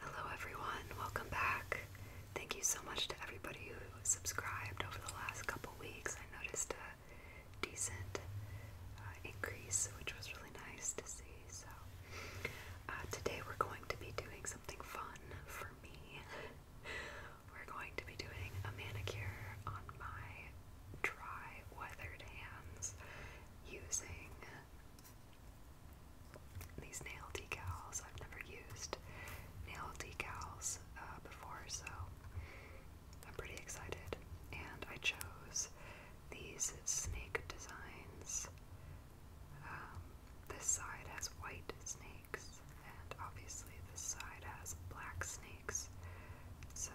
Hello, everyone. Welcome back. Thank you so much to everybody who subscribed over the last couple weeks. I noticed a decent uh, increase, which was really nice to see. So, uh, today we're going to be doing something fun for me. we're going to be doing a manicure on my dry, weathered hands using these nail decals. I've never used nail decals uh, before, so I'm pretty excited. And I chose these snake designs. Um, this side has white snakes, and obviously this side has black snakes. So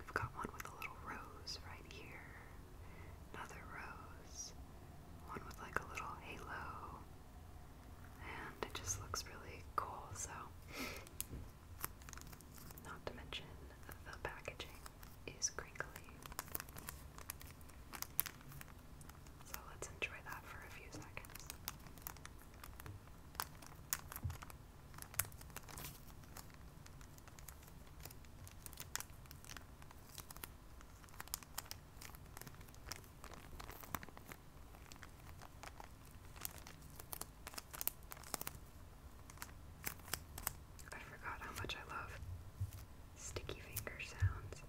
I've got one with a little rose right here, another rose, one with like a little halo, and it just looks really cool, so. Not to mention, the packaging is crinkly. So let's enjoy that for a few seconds. I forgot how much I love sticky finger sounds.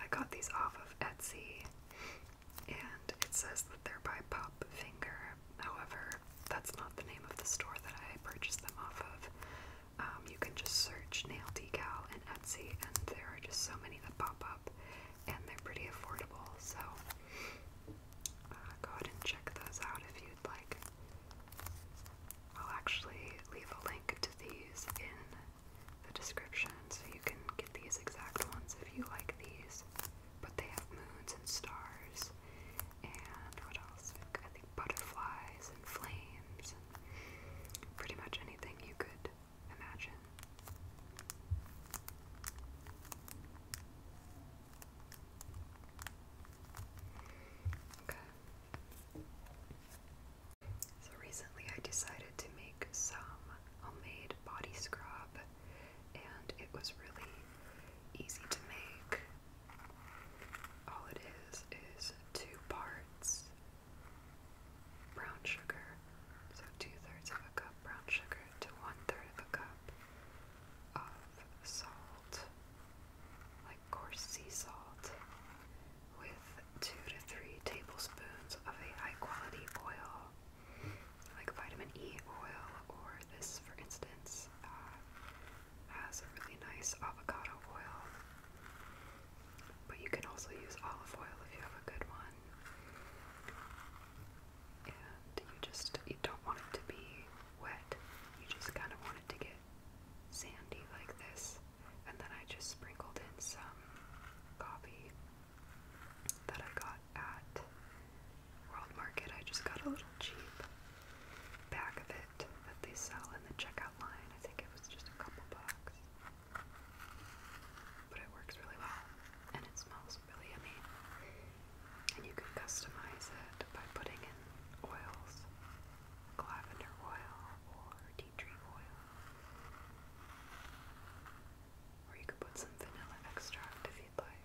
I got these off of Etsy and it says that they're by Pop Finger. However, that's not the name of the store that I purchased them off of. Um, you can just search Nail Decal and Etsy, and there are just so many that pop up, and they're pretty affordable. So uh, go ahead and check those out if you'd like. I'll actually leave a link to these in the description so you can get these exact ones if you like these. But they have moons and stars, and what else? I think butterflies and flames, and pretty much anything you could so recently I decided to make some homemade body scrub and it was really easy to make. All it is is two parts brown sugar. So two thirds of a cup brown sugar to one third of a cup of salt, like coarse sea salt, with two to three tablespoons of a high quality oil, like vitamin E oil, or this, for instance, uh, has a really nice avocado oil. But you can also use olive oil if you have a good one. And you just you don't want it to be wet. You just kind of want it to get sandy like this. And then I just sprinkled in some coffee that I got at World Market. I just got a little cheap bag of it that they sell in the checkout line. I think it was just a couple bucks. But it works really well and it smells really yummy. And you can customize it by putting in oils, lavender oil or tea tree oil. Or you could put some vanilla extract if you'd like.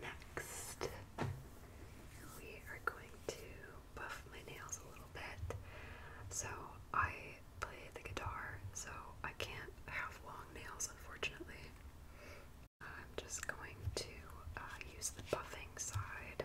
Next, we are going to buff my nails a little bit. So, I play the guitar, so I can't have long nails unfortunately. I'm just going to uh, use the buffing side.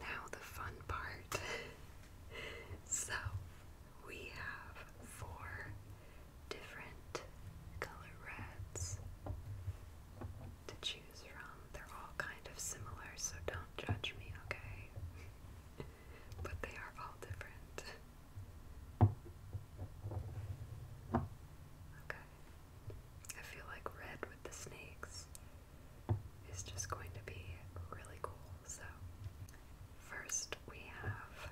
Now, the fun part. so, we have four different color reds to choose from. They're all kind of similar, so don't judge me, okay? but they are all different. Okay. I feel like red with the snakes is just going to be really cool. So, first we have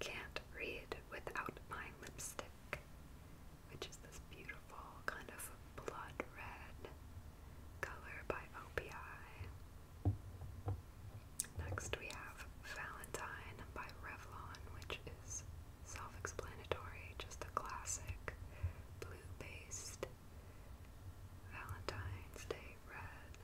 Can't Read Without My Lipstick, which is this beautiful kind of blood red color by OPI. Next we have Valentine by Revlon, which is self-explanatory, just a classic blue-based Valentine's Day red.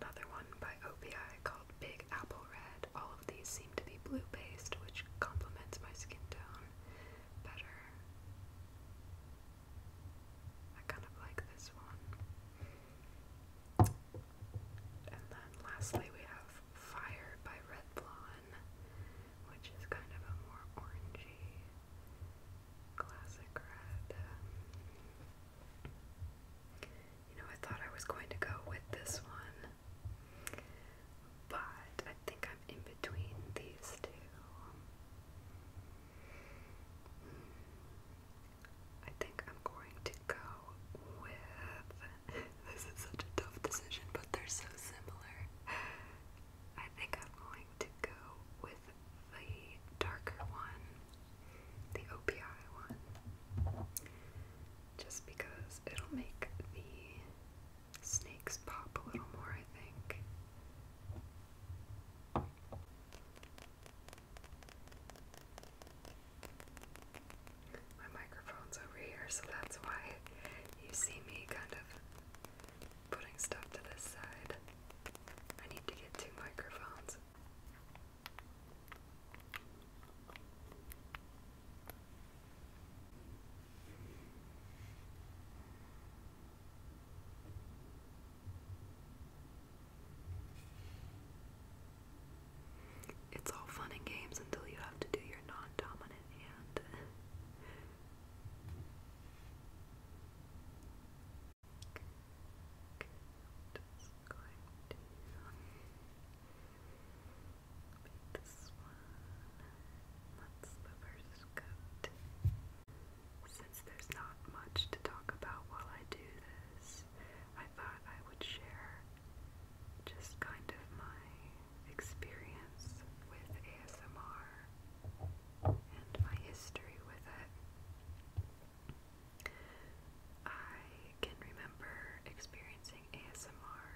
Another one by OPI called Big Apple Red. All of these seem to be blue based, which complements my skin tone better. I kind of like this one. And then lastly we have Fire by Red which is kind of a more orangey classic red. You know, I thought I was going to go with this one but I think I'm in between these two. Hmm. I think I'm going to go with. This is such a tough decision, but they're so similar. I think I'm going to go with the darker one, the OPI one, just because it'll make the Snakes pop a little more, I think. My microphone's over here, so that's why you see me kind of putting stuff to this side. I need to get two microphones. It's all fun and games until you have to do your non dominant hand this one. That's the first coat. Since there's not much to talk about while I do this, I thought I would share just kind of my experience with ASMR and my history with it. I can remember experiencing ASMR.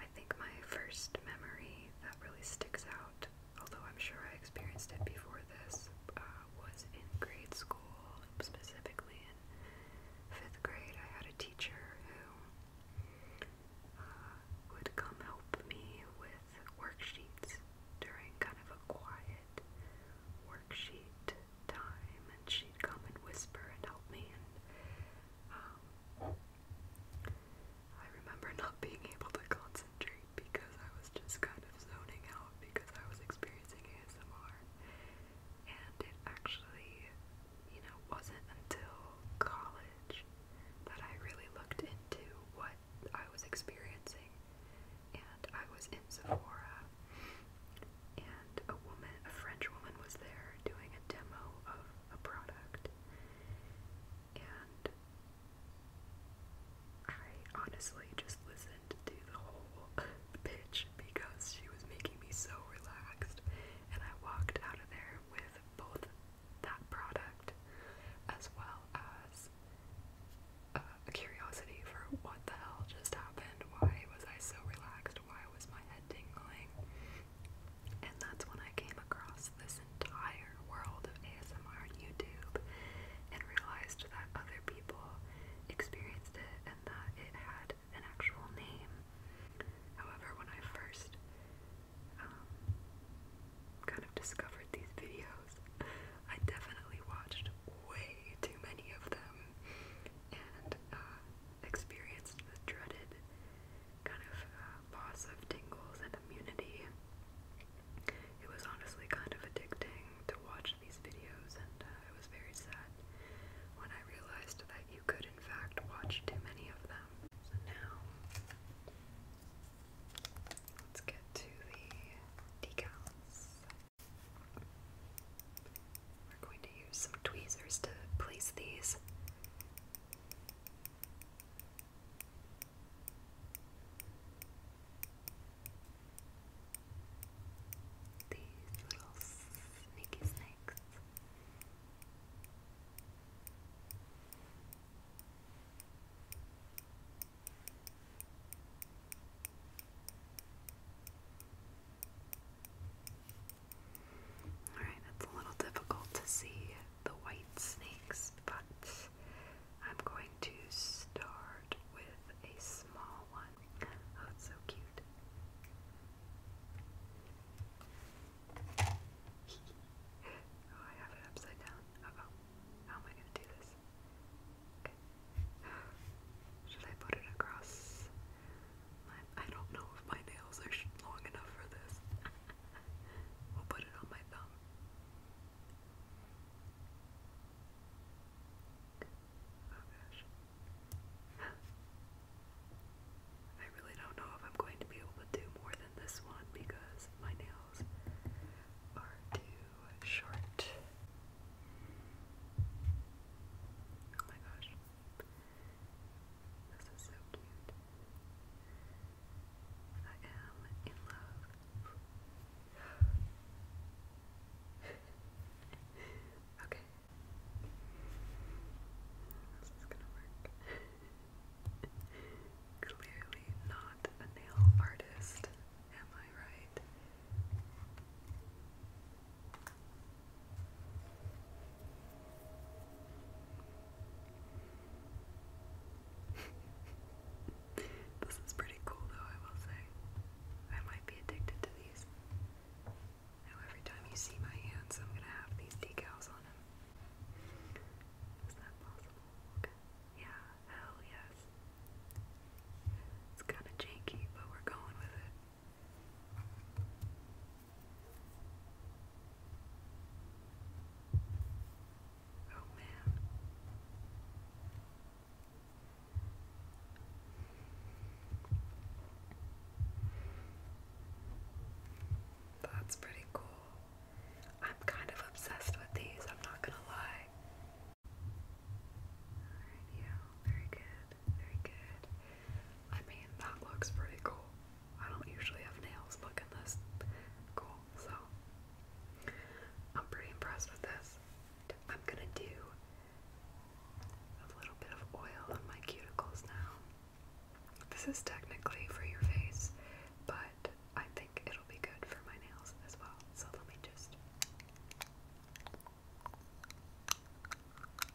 I think my first memory that really sticks out, although I'm sure I experienced it before this, uh, was in grade school, specifically in fifth grade. I had a teacher who uh, would come help me with worksheets during kind of a quiet worksheet time, and she'd come and whisper and help me, um, I remember not being able to concentrate because I was just kind of zoning out because I was experiencing ASMR. And it actually, you know, wasn't until college that I really looked into what I was experiencing. And I was in Sephora, and a woman, a French woman, was there doing a demo of a product. And I honestly just listened to the whole pitch because she was making me so relaxed. And I walked out of there with both that product as well as uh, a curiosity for what the hell just happened. Why was I so relaxed? Why was my head tingling? And that's when I came across this entire world of ASMR YouTube and realized that other people experienced it and that it had an actual name. However, when I first um, kind of discovered these videos, I definitely watched way too many of them and uh, experienced the dreaded kind of uh, tingles and immunity. It was honestly kind of addicting to watch these videos, and uh, it was very sad when I realized that you could, in fact, watch too many of them. So now, let's get to the decals. We're going to use some tweezers to place these these little sneaky snakes. Alright, it's a little difficult to see the white snakes, but I'm going to start with a small one. Oh, it's so cute. oh, I have it upside down. Uh oh. How am I going to do this? Okay. Should I put it across? I don't know if my nails are long enough for this. we'll put it on my thumb. Oh gosh. I really don't know if I'm going to be able to do more than this one because my nails are too short. Oh my gosh. This is so cute. I am in love. okay. This is gonna work. Clearly not a nail artist, am I right? this is pretty cool, though, I will say. I might be addicted to these. Now, every time you see my hands, I'm gonna have these decals on them. Is that possible? Okay. Yeah, hell yes. It's kind of janky, but we're going with it. Oh, man. That's pretty cool. I'm kind of obsessed with these, I'm not gonna lie. Alright, yeah, very good, very good. I mean, that looks pretty cool. I don't usually have nails looking this cool, so I'm pretty impressed with this. I'm gonna do a little bit of oil on my cuticles now. This is technically for your face, but I think it'll be good for my nails as well. So let me just.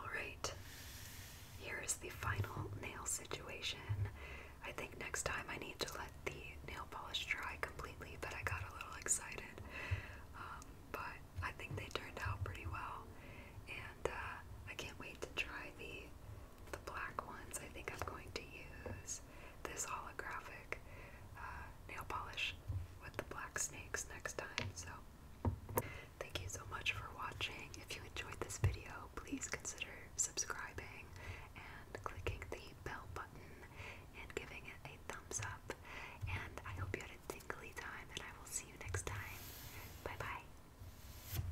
Alright, here is the final nail situation. I think next time I need to let the nail polish dry completely, but I got a little excited. Um, but I think they turned out pretty well, and uh, I can't wait to try the the black ones. I think I'm going to use this holographic uh, nail polish with the black snakes next time. So, thank you so much for watching. If you enjoyed this video, please consider subscribing and clicking the bell button and giving it a thumbs up. And I hope you had a tingly time, and I will see you next time. Bye bye.